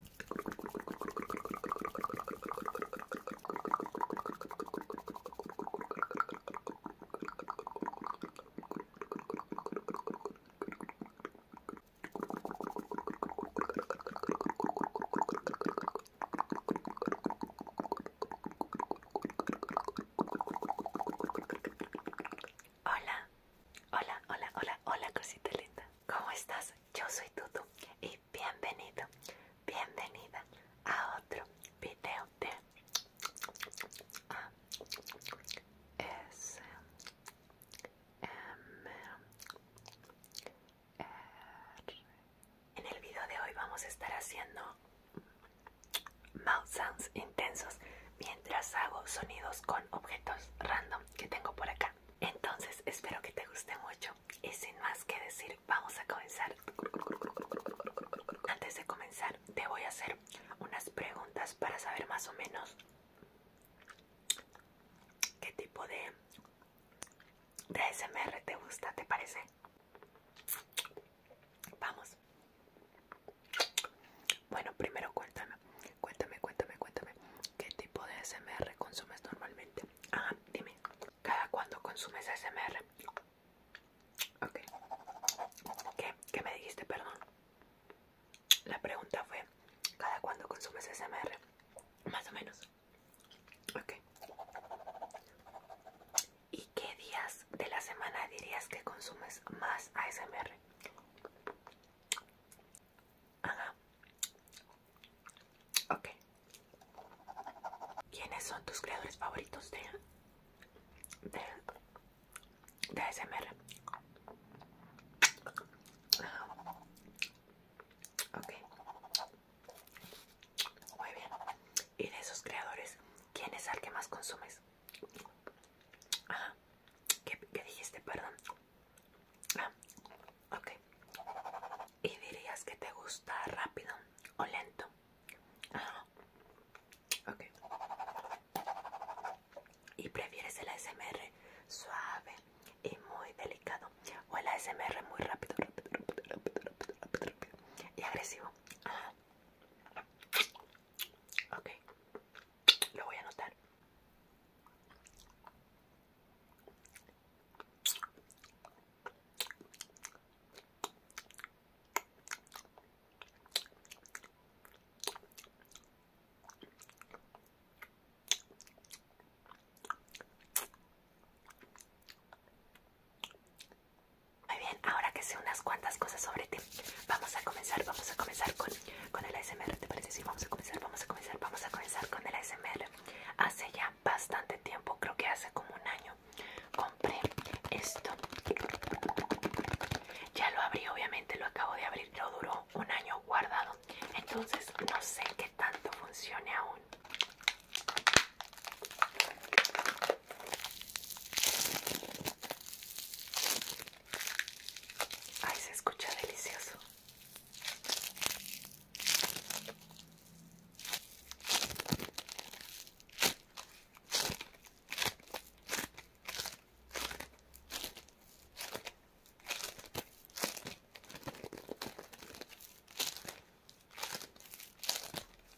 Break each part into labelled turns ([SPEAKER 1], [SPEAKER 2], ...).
[SPEAKER 1] Hola, hola, hola, hola, hola, cosita linda. ¿Cómo estás? yo soy Tutu y bienvenido, bienvenida a otro video de ASMR. En el video de hoy vamos a estar haciendo mouth sounds intensos mientras hago sonidos con objetos random que tengo por acá. Entonces espero que te guste mucho y sin más que decir vamos a comenzar. Antes de comenzar te voy a hacer unas preguntas para saber más o menos qué tipo de, de te gusta, ¿te parece? Vamos. Bueno, primero cuéntame cuéntame, cuéntame, cuéntame, ¿qué tipo de SMR consumes normalmente? Ah, dime, ¿cada cuándo consumes SMR? Ok, ¿qué? ¿Qué me dijiste? Perdón. La pregunta fue, ¿cada cuándo consumes SMR? Más o menos. Ok. ¿Y qué días de la semana dirías que consumes más ASMR? Ajá. Ok. ¿Quiénes son tus creadores favoritos de, de, de ASMR? Ajá. Ok. Muy bien. ¿Y de esos creadores, quién es el que más consumes? Ajá. ¿Qué, dijiste? Perdón. Ah, ok. ¿Y dirías que te gusta rápido o lento? Ajá, ah, ok. ¿Y prefieres el ASMR suave y muy delicado? ¿O el ASMR muy rápido, rápido, rápido, rápido, rápido, rápido, y agresivo? Ajá, ah, ok. Lo voy a anotar. Muy bien, ahora que sé unas cuantas cosas sobre ti, Vamos a comenzar, vamos a comenzar con, el ASMR. ¿Te parece? Sí, vamos a comenzar, vamos a comenzar, vamos a comenzar con el ASMR. Hace ya bastante tiempo, creo que hace como un año, compré esto. Ya lo abrí, obviamente lo acabo de abrir, lo duró un año guardado. Entonces no sé qué tanto funcione aún. Ay, se escucha delicioso.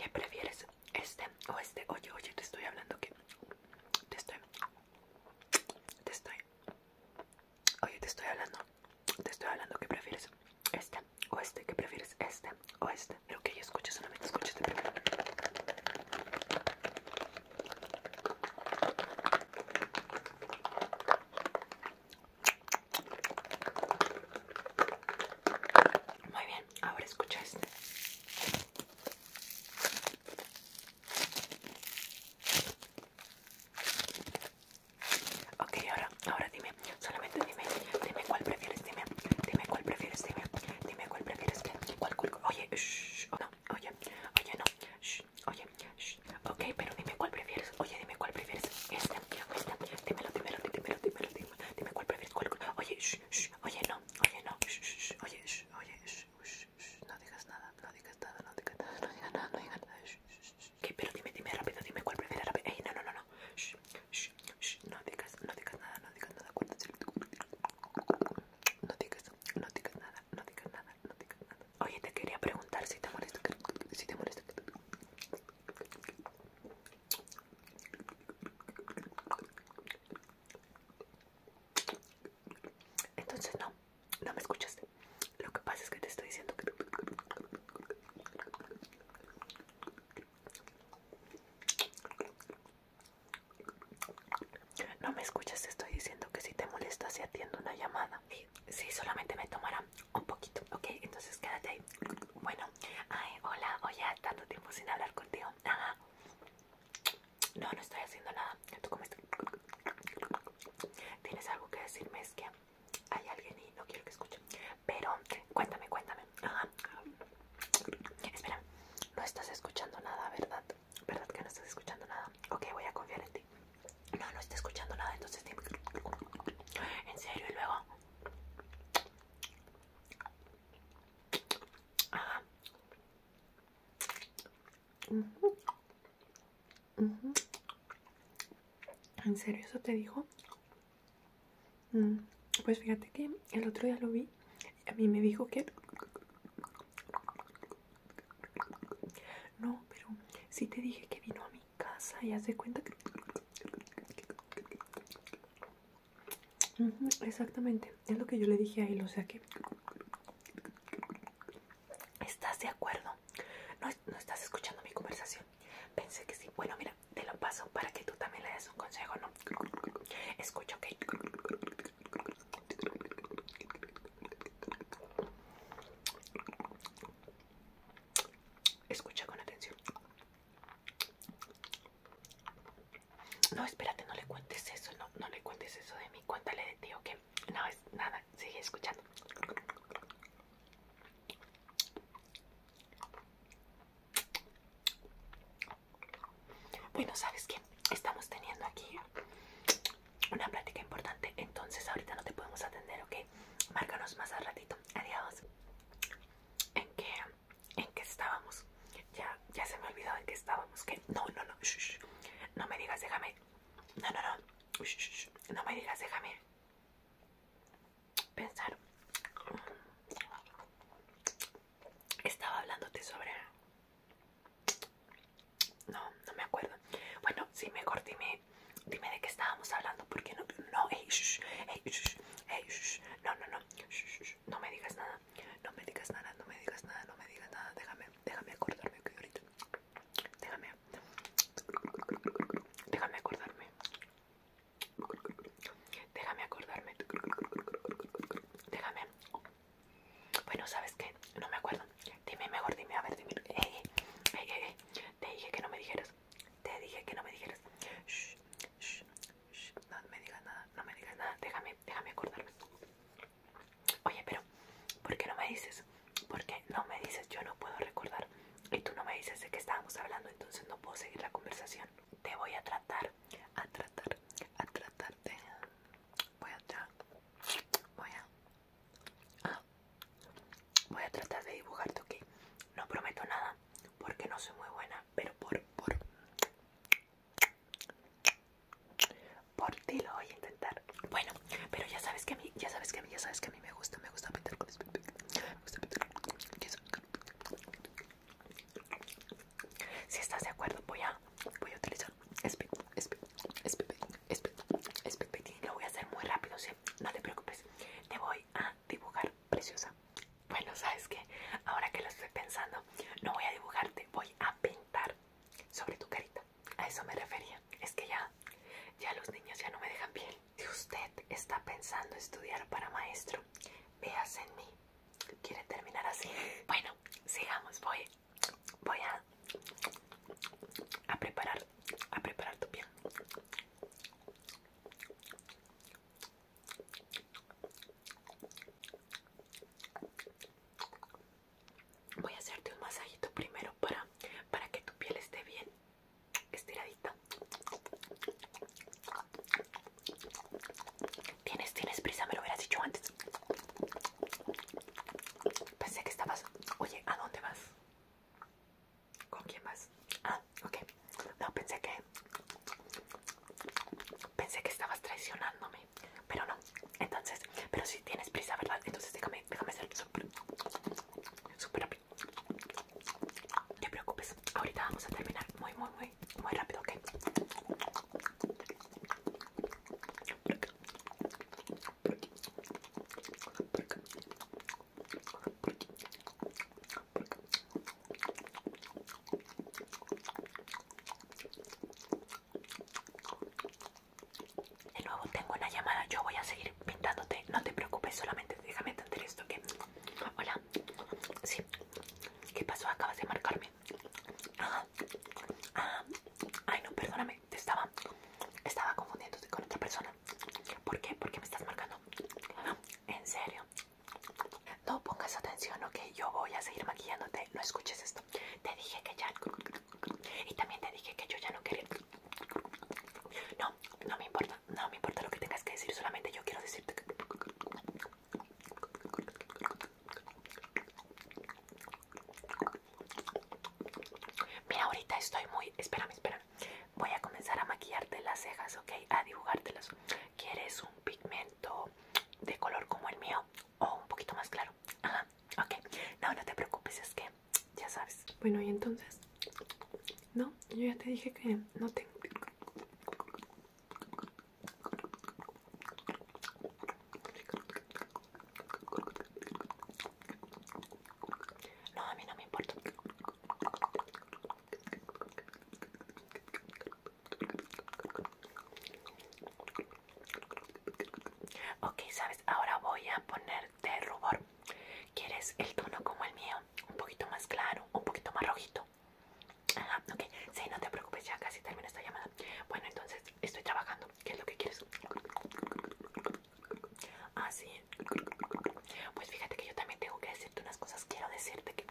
[SPEAKER 1] ¿Qué prefieres? ¿Este o este? Oye, oye, te estoy hablando que te estoy te estoy. Oye, te estoy hablando. Te estoy hablando. que prefieres? Este o este. que prefieres? Este o este. Pero que yo escucho, solamente escúchate este primero. Muy bien, ahora escucha este. Okay, ahora, ahora dime, solamente dime, dime cuál prefieres, dime, dime cuál prefieres, dime, dime cuál prefieres, cuál, cuál, oye, shh, no, oye, oye, no, shh, oye, shh, ok, pero dime cuál prefieres, oye, dime cuál prefieres, este, este, dímelo, dime, dímelo, dime, dímelo, dime cuál prefieres, cuál, oye, shh, oye, no, oye, no, shh, shh, oye, shh oye, no digas nada, no digas nada, no digas nada, no digas nada, no digas nada, ¿Qué? Pero dime, dime rápido, dime cuál prefieres rápido. Ey, no, no, no, no, no digas, no digas nada, no digas nada, No digas, no digas nada, no digas nada, no digas nada. Oye, te quería preguntar si te molesta, si te molesta. Entonces no, no me escuchaste. Lo que pasa es que te estoy diciendo que... No me escuchas, te estoy diciendo que si te molesta si atiendo una llamada. Sí, solamente me tomará un poquito, ¿ok? Entonces quédate ahí. Bueno, ay, hola, oye, tanto tiempo sin hablar contigo. Ajá. No, no estoy haciendo nada. ¿Tienes algo que decirme? Es que hay alguien y no quiero que escuche. Pero cuéntame, cuéntame. Ajá. Espera, no estás escuchando nada, ¿verdad? ¿Verdad que no estás escuchando nada? Ok, voy a confiar en ti. No, no estás escuchando nada, entonces En serio, y luego. ¿En serio eso te dijo? Mm, pues fíjate que el otro día lo vi y a mí me dijo que... No, pero sí te dije que vino a mi casa y haz de cuenta que exactamente, es lo que yo le dije a él, o sea que estás de acuerdo, no, estás escuchando mi conversación, pensé que sí, bueno mira, te lo paso para que tú también le des un consejo, ¿no? Escucho, ok. Escucha con atención. No, espérate, no le cuentes eso, no, no le cuentes eso de mí, cuéntale de ti, ok. No, es nada, sigue escuchando. Bueno, ¿sabes qué? Estamos teniendo aquí una plática importante, entonces ahorita no te podemos atender, ok. Márcanos más al ratito. Adiós. ¿En qué? en qué estábamos. Ya, ya se me olvidó en qué estábamos. Que no, no, no. No me digas, déjame. No, no, no. No me digas, déjame. Pensar. Estaba hablándote sobre. No, no me acuerdo. Bueno, sí, mejor dime, dime de qué estábamos hablando, porque no, no, no, no, no, no me digas nada, no me digas nada, no me digas nada, no me digas nada, déjame, déjame acordarme que ahorita, déjame, déjame acordarme, déjame acordarme, déjame, bueno, ¿sabes qué? No me acuerdo, dime mejor, dime, a ver, dime, te dije que no me dijeras, te dije que no me dijeras. Shh, No me digas nada, no me digas nada. Déjame, déjame acordarme. Oye, pero, ¿por qué no me dices? Porque no me dices? Yo no puedo recordar. Y tú no me dices de qué estábamos hablando, entonces no puedo seguir la conversación. Te voy a tratar, a tratar, a tratarte. Voy a Voy a. Voy a tratar de dibujarte, ok. No prometo nada porque no soy muy buena, pero por, por, por ti lo voy a intentar. Bueno, pero ya sabes que a mí, ya sabes que a mí, ya sabes que a mí me gusta, me gusta pintar con me gusta pintar. Si estás de acuerdo, voy a, voy a utilizar espe, espe, lo voy a hacer muy rápido, No te preocupes te voy a dibujar preciosa. Bueno, sabes que ahora que lo estoy pensando, no voy a dibujarte, voy a pintar sobre tu carita. A eso me refería. Es que ya, ya los niños ya no me dejan piel. Si usted está pensando estudiar para maestro, véase en mí. ¿Quiere terminar así? Bueno, sigamos. Voy, voy a, a preparar, a preparar tu piel. Voy a hacerte un masajito primero para, para que tu piel esté bien estiradita. Tienes, tienes prisa, me lo hubieras dicho antes. Pensé que estabas... Oye, ¿a dónde vas? ¿Con quién más? Ah, ok. No, pensé que. Pensé que estabas traicionándome. Pero no. Entonces, pero si tienes prisa, ¿verdad? Entonces déjame, déjame ser súper. Súper rápido. No te preocupes. Ahorita vamos a terminar muy, muy, muy, muy rápido, ok. De nuevo tengo una llamada, yo voy a seguir pintándote, no te preocupes, solamente déjame entender esto que... Hola, sí, ¿qué pasó? Acabas de marcarme. Ah, ah, ay no, perdóname estaba, estaba confundiéndote con otra persona. ¿Por qué? Porque me estás marcando. En serio. No pongas atención, ok. Yo voy a seguir maquillándote. No escuches esto. Te dije que ya. Y también te dije que yo ya no quería. No, no me importa. No me importa lo que tengas que decir. Solamente yo quiero decirte que. Mira, ahorita estoy muy. Espérame, espera. Voy a comenzar a maquillarte las cejas, ¿ok? A dibujártelas. ¿Quieres un pigmento de color como el mío? O un poquito más claro. Ajá, ok. No, no te preocupes, es que ya sabes. Bueno, y entonces. No, yo ya te dije que no tengo. No, a mí no me importa. Ok, sabes, ahora voy a ponerte rubor. ¿Quieres el tono como el mío? Un poquito más claro, un poquito más rojito. Ajá, ok, sí, no te preocupes, ya casi termino esta llamada. Bueno, entonces estoy trabajando. ¿Qué es lo que quieres? Ah, sí. Pues fíjate que yo también tengo que decirte unas cosas. Quiero decirte que...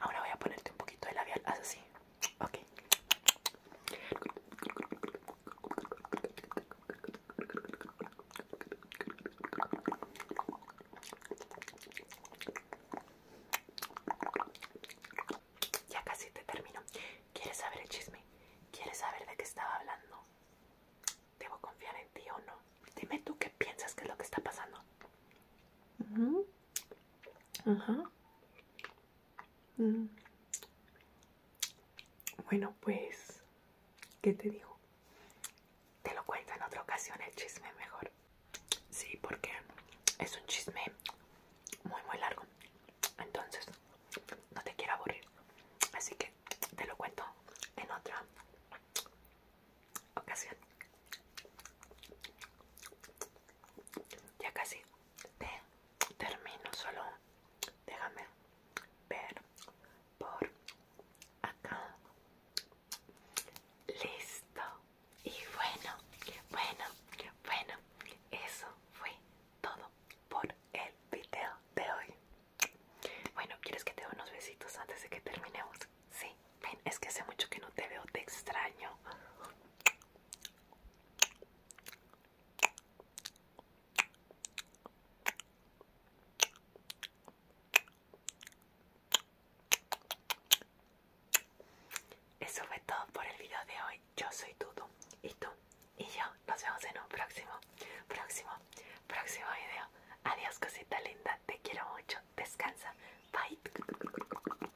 [SPEAKER 1] Ahora voy a ponerte un poquito de labial, haz así, ok. Ya casi te termino. ¿Quieres saber el chisme? ¿Quieres saber de qué estaba hablando? ¿Debo confiar en ti o no? Dime tú qué piensas que es lo que está pasando. Mm. Bueno, pues, ¿qué te digo? Te lo cuento en otra ocasión el chisme mejor. Sí, porque es un chisme muy, muy largo. Entonces, no te quiero aburrir. Así que te lo cuento en otra ocasión. Ya casi termino solo déjame ver por acá listo y bueno bueno bueno eso fue todo por el video de hoy bueno quieres que te dé unos besitos antes de que terminemos sí ven es que hace mucho que no te veo te extraño eso fue todo por el video de hoy. Yo soy tú y tú y yo nos vemos en un próximo, próximo, próximo video. Adiós cosita linda, te quiero mucho, descansa, bye.